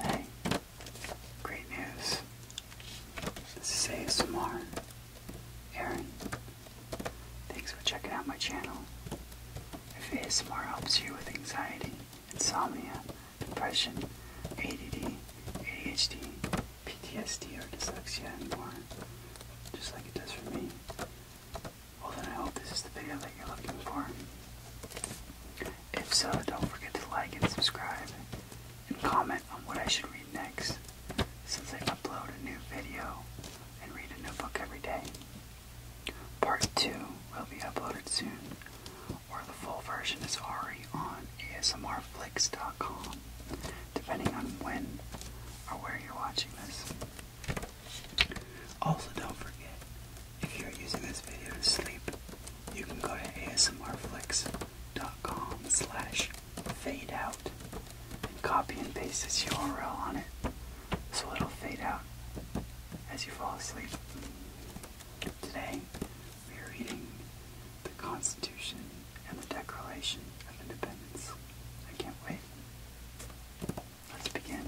Hey, great news. This is ASMR. Aaron, thanks for checking out my channel. If ASMR helps you with anxiety, insomnia, depression, ADD, ADHD, PTSD, or dyslexia and more, just like it does for me, well then I is the video that you're looking for. If so, don't forget to like and subscribe and comment on what I should read next since I upload a new video and read a new book every day. Part 2 will be uploaded soon, or the full version is already on ASMRflix.com, depending on when or where you're watching this. Also, don't forget if you're using this video to sleep, you can go to asmrflix.com slash fade out and copy and paste this URL on it so it'll fade out as you fall asleep. Today, we are reading the Constitution and the Declaration of Independence. I can't wait. Let's begin.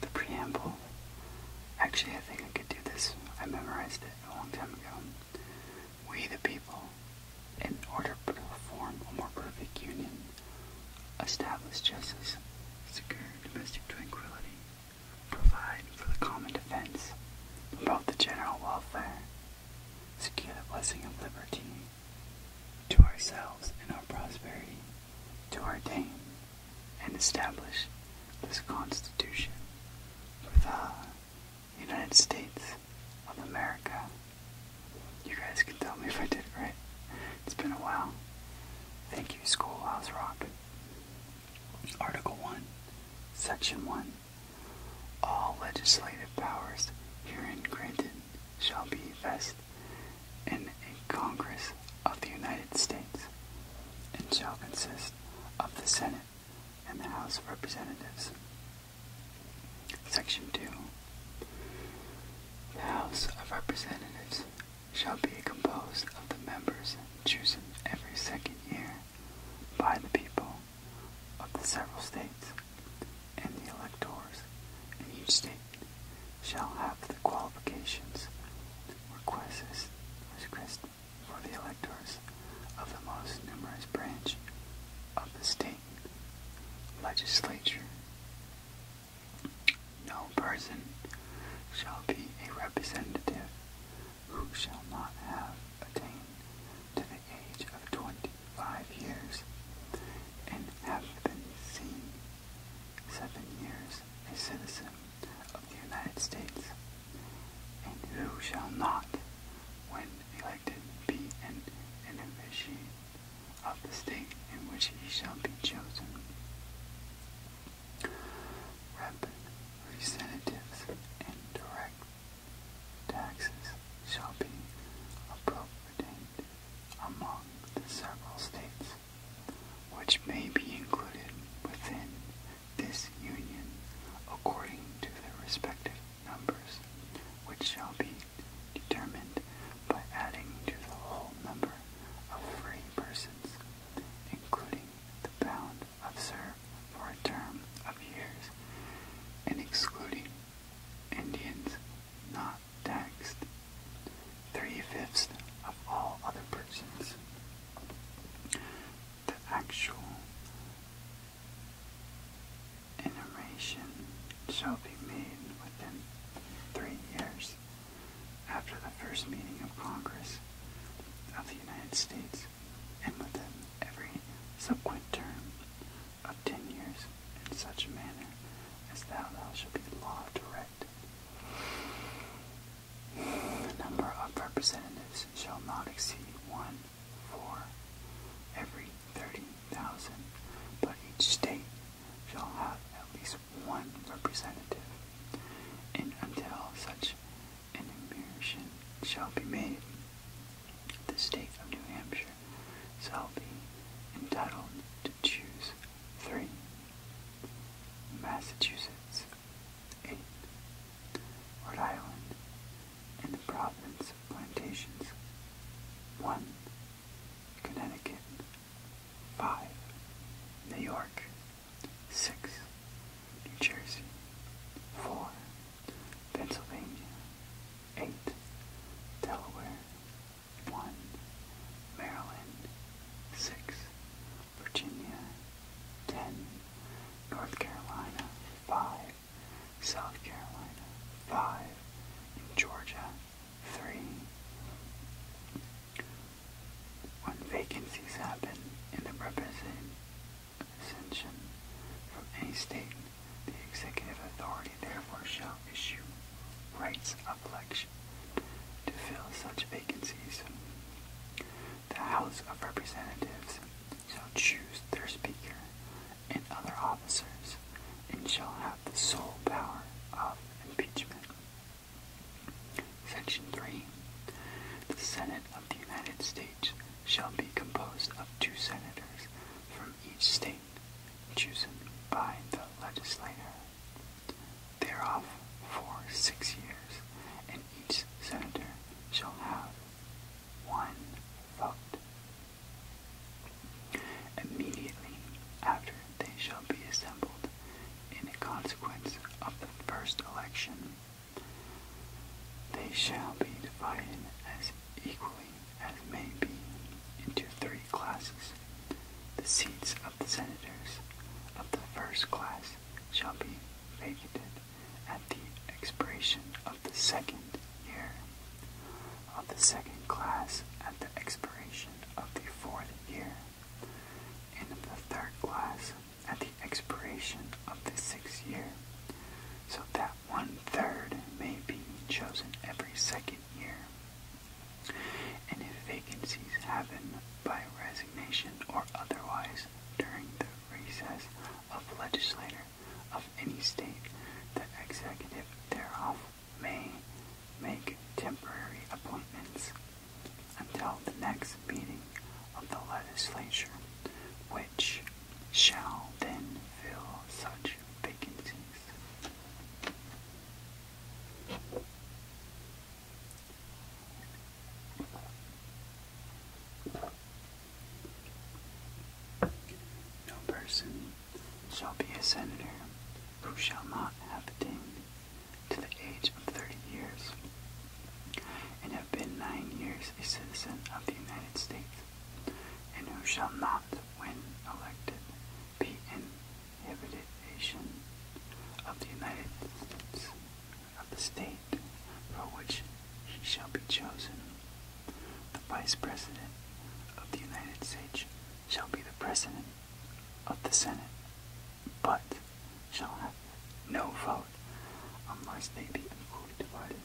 The preamble. Actually, I think I could do this. I memorized it a long time ago. We the people, in order to form a more perfect union, establish justice, secure domestic tranquility, provide for the common defense, promote the general welfare, secure the blessing of liberty, to ourselves and our prosperity, to ordain and establish this Constitution for the United States of America. You guys can tell me if I did it right. It's been a while. Thank you, Schoolhouse Rock. Article 1, Section 1. All legislative powers herein granted shall be vested in a Congress of the United States, and shall consist of the Senate and the House of Representatives. Section 2. The House of Representatives shall be composed of the members chosen every second year by the people of the several states and the electors in each state shall have the qualifications requested for the electors of the most numerous branch of the state legislature. No person shall be a representative who shall not have attained to the age of twenty five years and have been seen seven years a citizen of the United States, and who shall not, when elected, be an innovation of the state in which he shall be chosen. Representatives and direct taxes shall be appropriated among the several states which may be included within this union according to their respective numbers, which shall be determined by adding to the whole number of free persons, including the bound of serve for a term of years, and excluding Indians not Text three-fifths of all other persons. The actual enumeration shall be made within three years after the first meeting of Congress of the United States and within every subsequent term of ten years in such manner as thou shalt be law directed. The number of representatives shall not exceed one for every thirty thousand, but each state shall have at least one representative, and until such an emission shall be made, the state of New Hampshire shall be entitled to choose three. Massachusetts, eight. Rhode Island, and the province of plantations, one. Connecticut, five. New York, six. New Jersey, four. Pennsylvania, eight. Delaware, one. Maryland, six. Virginia, ten. North Carolina, five. South Carolina, five. And Georgia, three. When vacancies happen in the representation from any state the executive authority therefore shall issue rights of election to fill such vacancies. The House of Representatives shall choose their speaker and other officers and shall have the sole power of impeachment. Section 3. The Senate of the United States shall be composed of two senators from each state chosen by the legislature thereof for six years, and each senator shall have one vote. Immediately after they shall be assembled in consequence of the first election, they shall be divided as equally as may be, into three classes. The seats of the senators of the first class shall be vacant at the expiration of the second year, of the second class at the expiration of the fourth year, and of the third class at the expiration of the sixth year, so that one third may be chosen every second year. And if vacancies happen by resignation or otherwise during the recess of legislature of any state, the executive thereof may make temporary appointments until the next meeting of the legislature, which shall then fill such vacancies. No person shall be a senator who shall not have attained to the age of thirty years and have been nine years a citizen of the United States and who shall not, when elected, be inhabitation of the United States of the state for which he shall be chosen. The Vice President of the United States shall be the President of the Senate, but shall have no vote unless they be equally divided.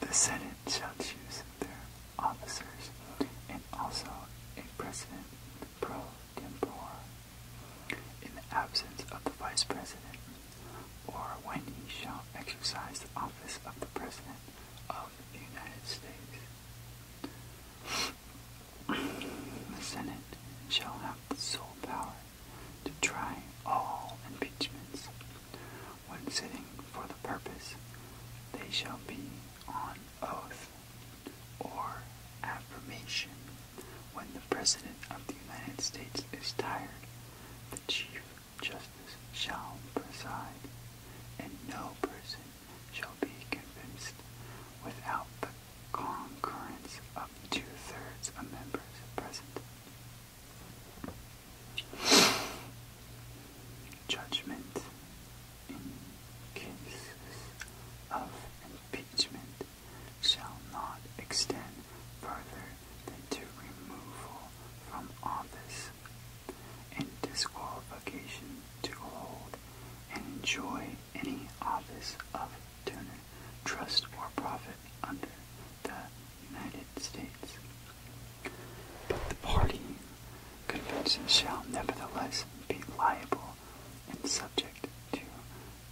The Senate shall choose their officers and also a president pro tempore in the absence of the vice president, or when he shall exercise the office of the president of the United States. The Senate shall have the sole power to try all impeachments. When sitting for the purpose, they shall be on oath or affirmation. When the President of the United States is tired, the Chief Justice shall preside, and no person shall be convinced without the concurrence of two-thirds of members present. Judgment in cases of impeachment shall not extend further than to removal from office and disqualification to hold and enjoy any office of Turner Trust for Profit under the United States. But the party convention shall nevertheless be liable and subject to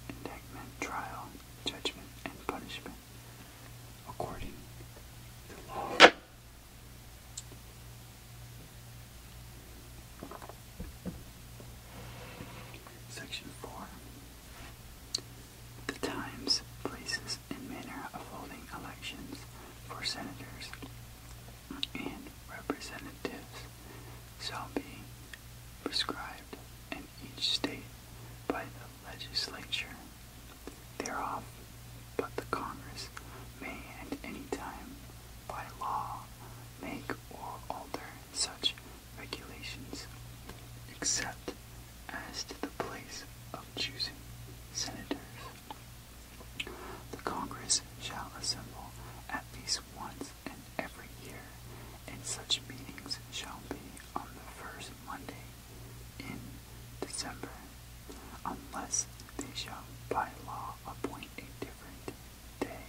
indictment, trial, judgment, and punishment according to law. Section 4 the times, places, and manner of holding elections for senators and representatives shall be prescribed in each state by the legislature thereof, but the Congress may at any time by law make or alter such regulations, except as to the place of choosing senators. The Congress shall assemble at least once in every year, and such meetings shall be on the first Monday in December, unless they shall by law appoint a different day.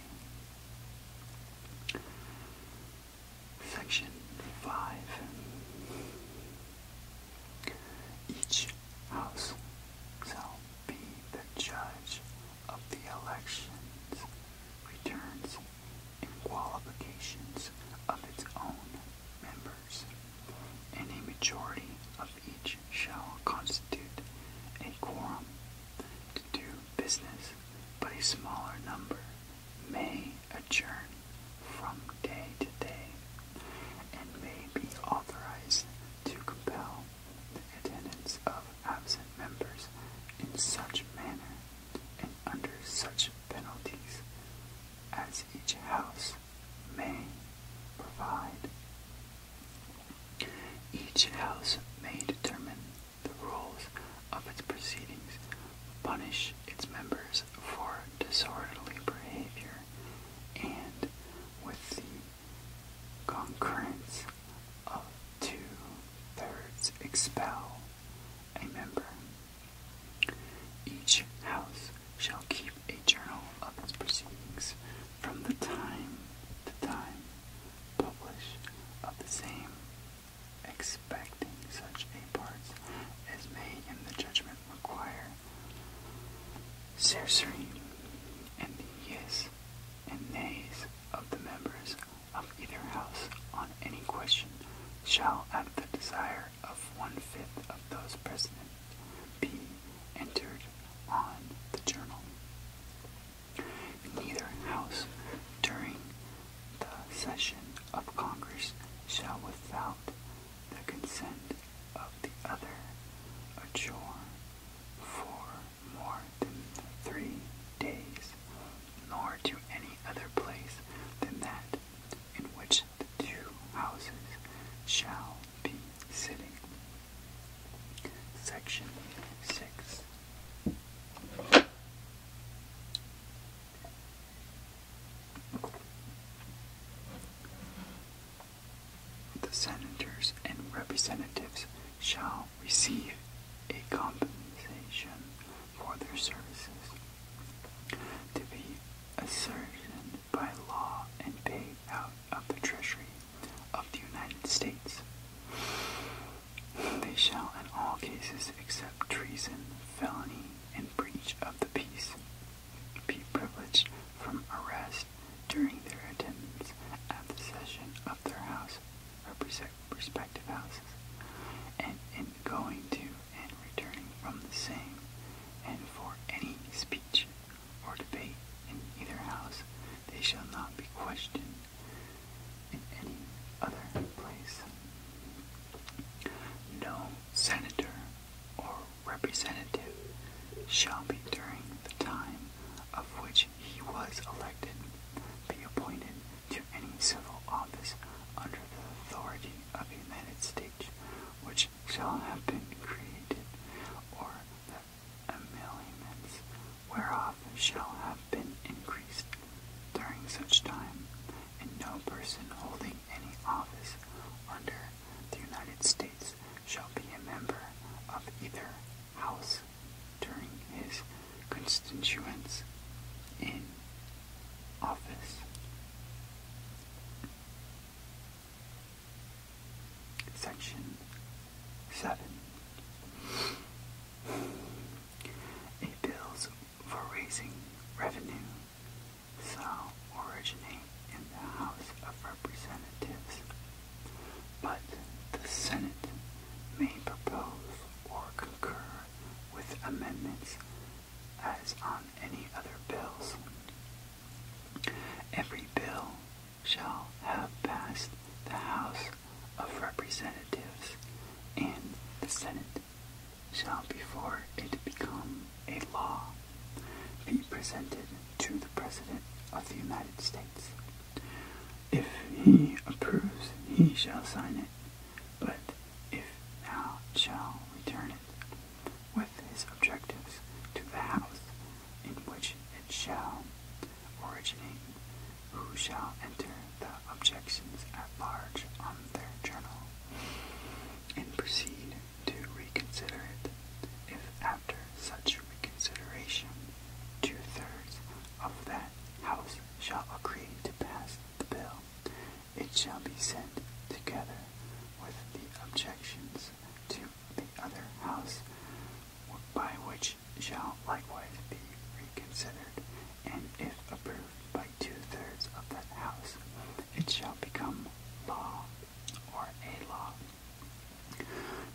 Section 5 Each house shall be the judge of the elections, returns, and qualifications of its own members, and a majority of each shall constitute a quorum to do business but a smaller number may adjourn from day to day and may be authorized to compel the attendance of absent members in such manner and under such penalties as each house may provide. Each house may determine the rules of its proceedings, punish its members for disorderly behavior, and with the concurrence of two-thirds expel a member. Each house shall keep a journal of its proceedings from the time to time, published of the same expecting such a parts as may, in the judgment require. Sorcery and the yes and nays of the members of either house on any question shall at the desire of one-fifth of those present be entered on the journal. Neither House during the session of Congress shall without the consent of the other adjourn for more than three days, nor to any other place than that in which the two houses shall be sitting. Section 6 the senators and representatives shall receive a compensation for their services to be ascertained by law and paid out of the Treasury of the United States. They shall in all cases except treason, felony, and breach of the peace be privileged from arrest during their attendance at the session of their house or respective houses, and in going to and returning from the same, and for any speech or debate in either house, they shall not be questioned in any other place. No senator or representative shall be during the time of which he was elected be appointed to any civil office under the authority of the United States which shall have been created or the emoluments whereof shall have been increased during such time, and no person holding any office under the United States shall be a member of either house during his constituents in office. Section 7 a bills for raising revenue shall originate in the House of Representatives, but the Senate may propose or concur with amendments as on any other bills. Every bill shall have passed the House of Representatives and the Senate shall before it become a law be presented to the President of the United States. If he approves, he shall sign it, but if thou shall return it with his objectives to the House in which it shall originate, who shall enter the objections at large on their journal, and proceed to reconsider it, if after such reconsideration two-thirds of that House shall agree to pass the bill, it shall be sent together with the objections to the other House by which shall likewise be reconsidered, and if approved by two-thirds of that House, it shall become law or a law.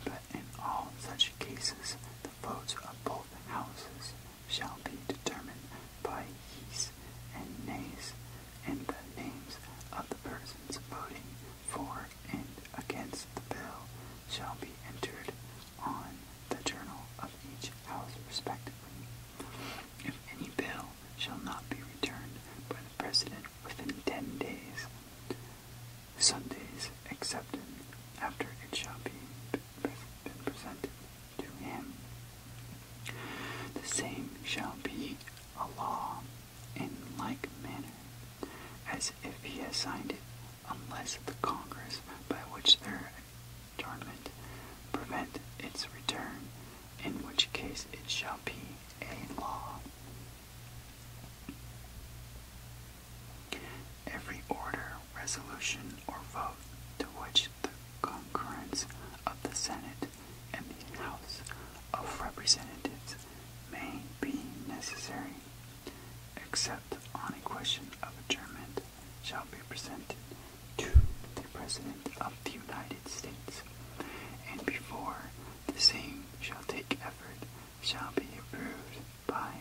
But in all such cases, the votes of both Houses shall be determined by yeas and nays, and the names of the persons voting for and against the bill shall be entered on the journal of each house respectively. If any bill shall not be returned by the President within ten days, Sundays excepted, after it shall be presented to him, the same shall be a law in like manner as if he had signed it unless the Congress by which their adjournment prevent its return, in which case it shall be a law. Every order, resolution, or vote to which the concurrence of the Senate and the House of Representatives may be necessary, except on a question of adjournment, shall be presented to the President of the United States, and before the same shall take effect, shall be approved by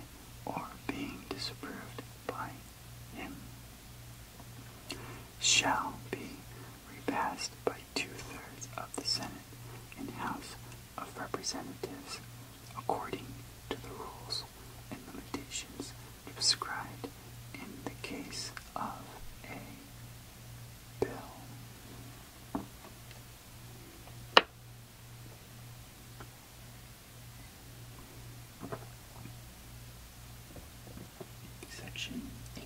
or being disapproved by him shall be repassed by two-thirds of the Senate and House of Representatives according to the rules and limitations prescribed in the case of a bill. Section 8.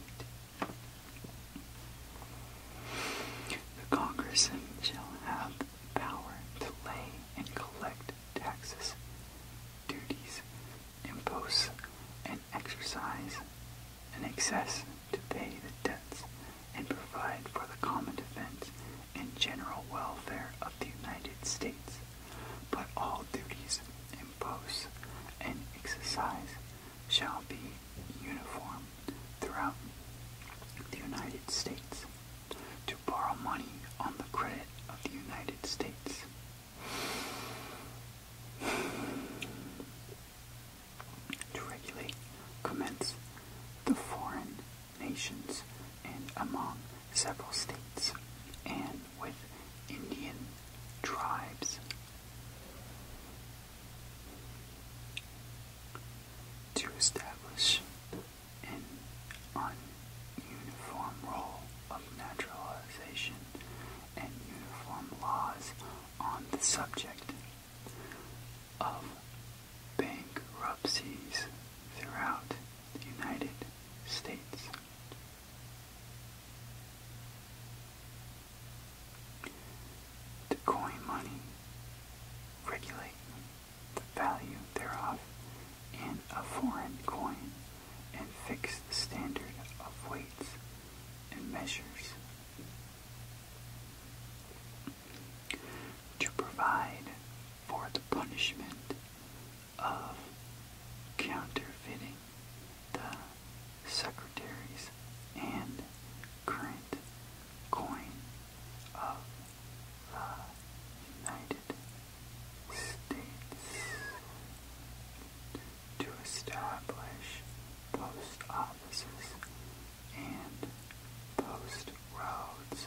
The Congress shall have power to lay and collect taxes, duties, impose, and exercise an excess to pay the debts and provide for the common defense and general welfare of the United States. But all duties imposed and exercised shall be uniform throughout the United States to borrow money on the credit of the United States. To regulate commence the foreign nations and among several states and with Indian tribes. To establish an ununiform role of naturalization and uniform laws on the subject of bankruptcies throughout the United States. The coin money regulating the value thereof in a foreign coin, and fix the standard of weights and measures. To provide for the punishment of counterfeiting the secretaries and current coin of United States to establish post offices and post roads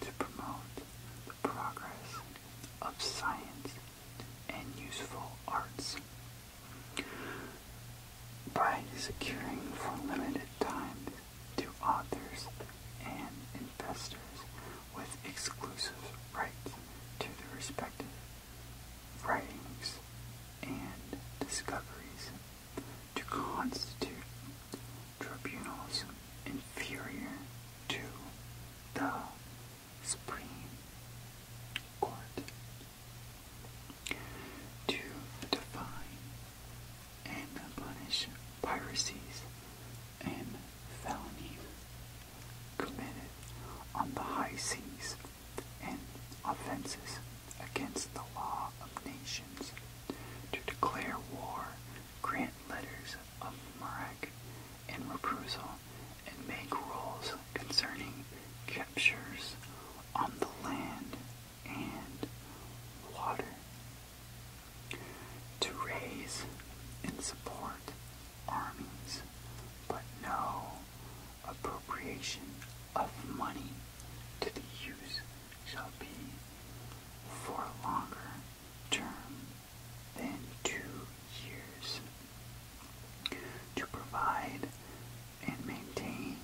to promote the progress of science and useful arts. By securing for limited time to authors and investors with exclusive rights to the respective writings and discoveries to constitute tribunals inferior to the Supreme Court. To define and punish piracies and felonies committed on the high seas and offenses against the law of nations, to declare war, grant letters of marque and reprisal, and make rules concerning captures on the land and water to raise and support armies, but no appropriation of money to the use shall be for longer term than two years to provide and maintain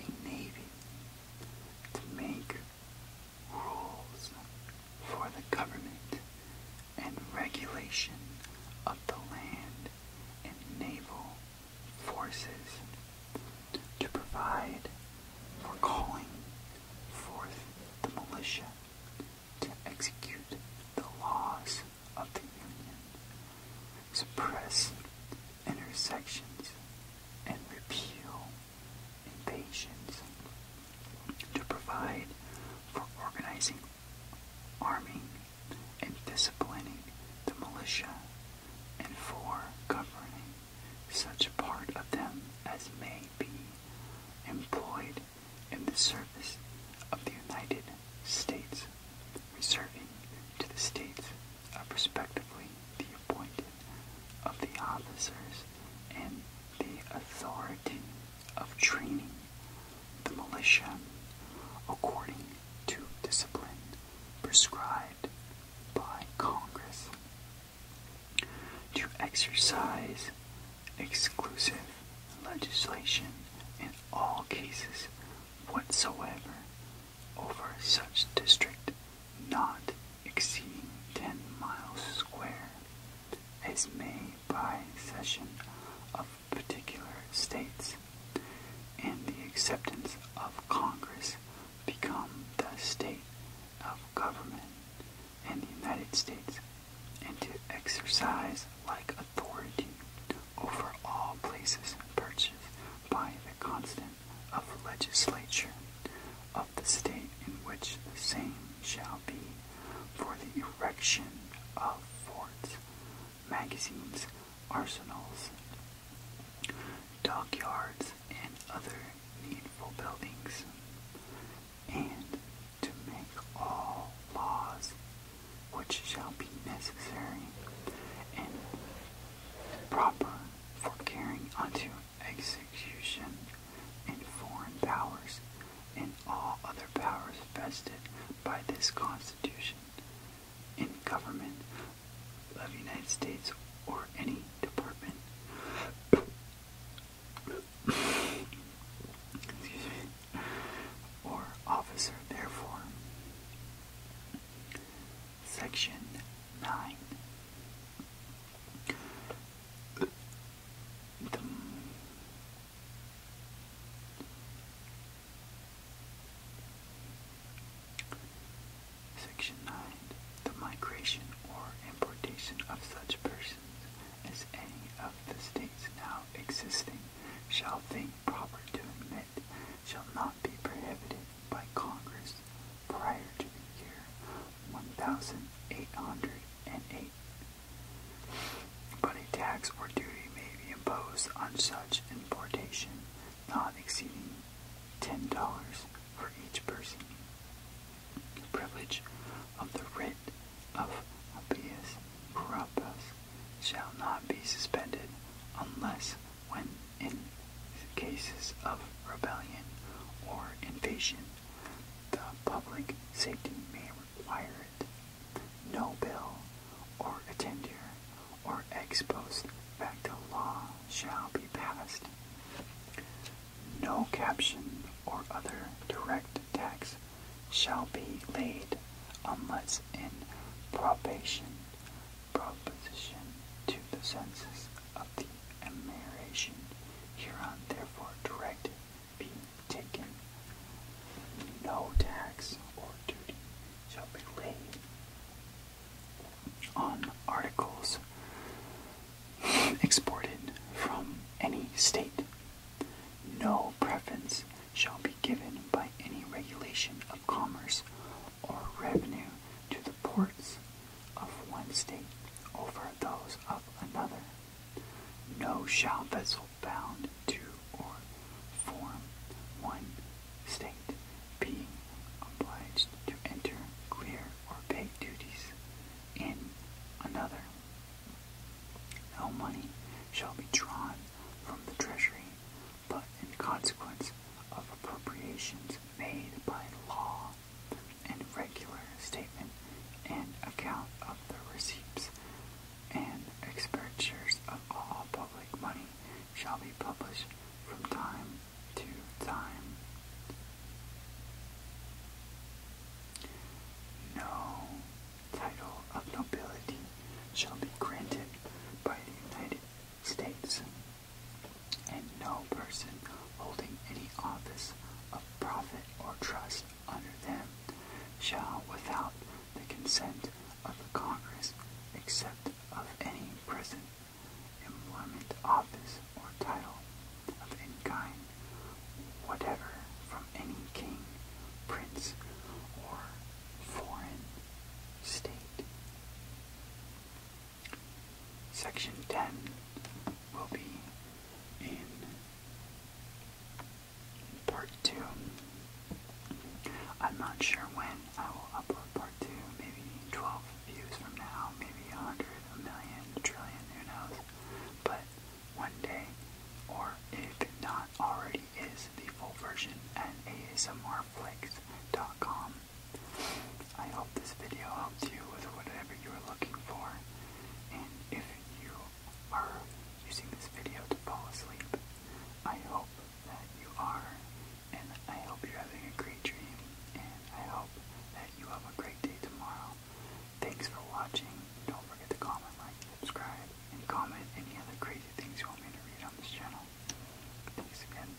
a navy, to make rules for the government and regulation of the land and naval forces to provide for calling forth the militia to execute the laws of the Union, suppress intersections, and repeal and patience to provide for organizing, arming, and disciplining the militia, and for governing such part of them as may be employed in the service of the United States, reserving to the states of respectively the appointed of the officers and the authority of training the militia according to discipline prescribed by Congress, to exercise exclusive legislation in all cases whatsoever over such district not exceeding 10 miles square is made by cession of particular states, and the acceptance of Congress become the state of government in the United States, and to exercise like authority over all places purchased by the consent of the legislature the state in which the same shall be for the erection of forts, magazines, arsenals, dockyards, and other needful buildings, and to make all laws which shall be necessary and proper for carrying on unto execution in foreign powers and all other powers vested by this Constitution in government of United States or any department. Or officer, therefore. Section 9. Section 9. The migration or importation of such persons as any of the states now existing shall think proper to admit shall not be prohibited by Congress prior to the year 1808, but a tax or duty may be imposed on such importation not exceeding $10 for each person. The privilege of the writ of habeas corpus shall not be suspended unless when in cases of rebellion or invasion, the public safety may require it. No bill or attendure or ex facto law shall be passed. No caption or other direct tax shall be laid unless in probation to the census of the admiration hereon therefore directed be taken. No tax or duty shall be laid on articles exported from any state. No preference shall be given by any regulation of commerce or revenue to the ports of one state over those of another. No shall vessel bound to or form one state being obliged to enter, clear, or pay duties in another. No money shall be drawn from the treasury, but in consequence of appropriations made by law and regular statement and account of the receipts and expenditures of all public money shall be published from time to time. No title of nobility shall be granted by the United States and no person holding any office of profit or trust under them shall without the consent of the Congress accept of any present employment office or title of any kind whatever from any king, prince, or foreign state. Section 10 will be in part 2. I'm not sure when I will upload part 2, maybe 12 views from now, maybe 100, a million, a trillion, who knows. But one day, or if it not already is, the full version at asmrflix.com I hope this video helped you with whatever you are looking for. And if you are using this video to fall asleep, I hope that you are. And I hope you're having a great dream. And I hope that you have a great day tomorrow. Thanks for watching. Don't forget to comment, like, subscribe, and comment any other crazy things you want me to read on this channel. Thanks again.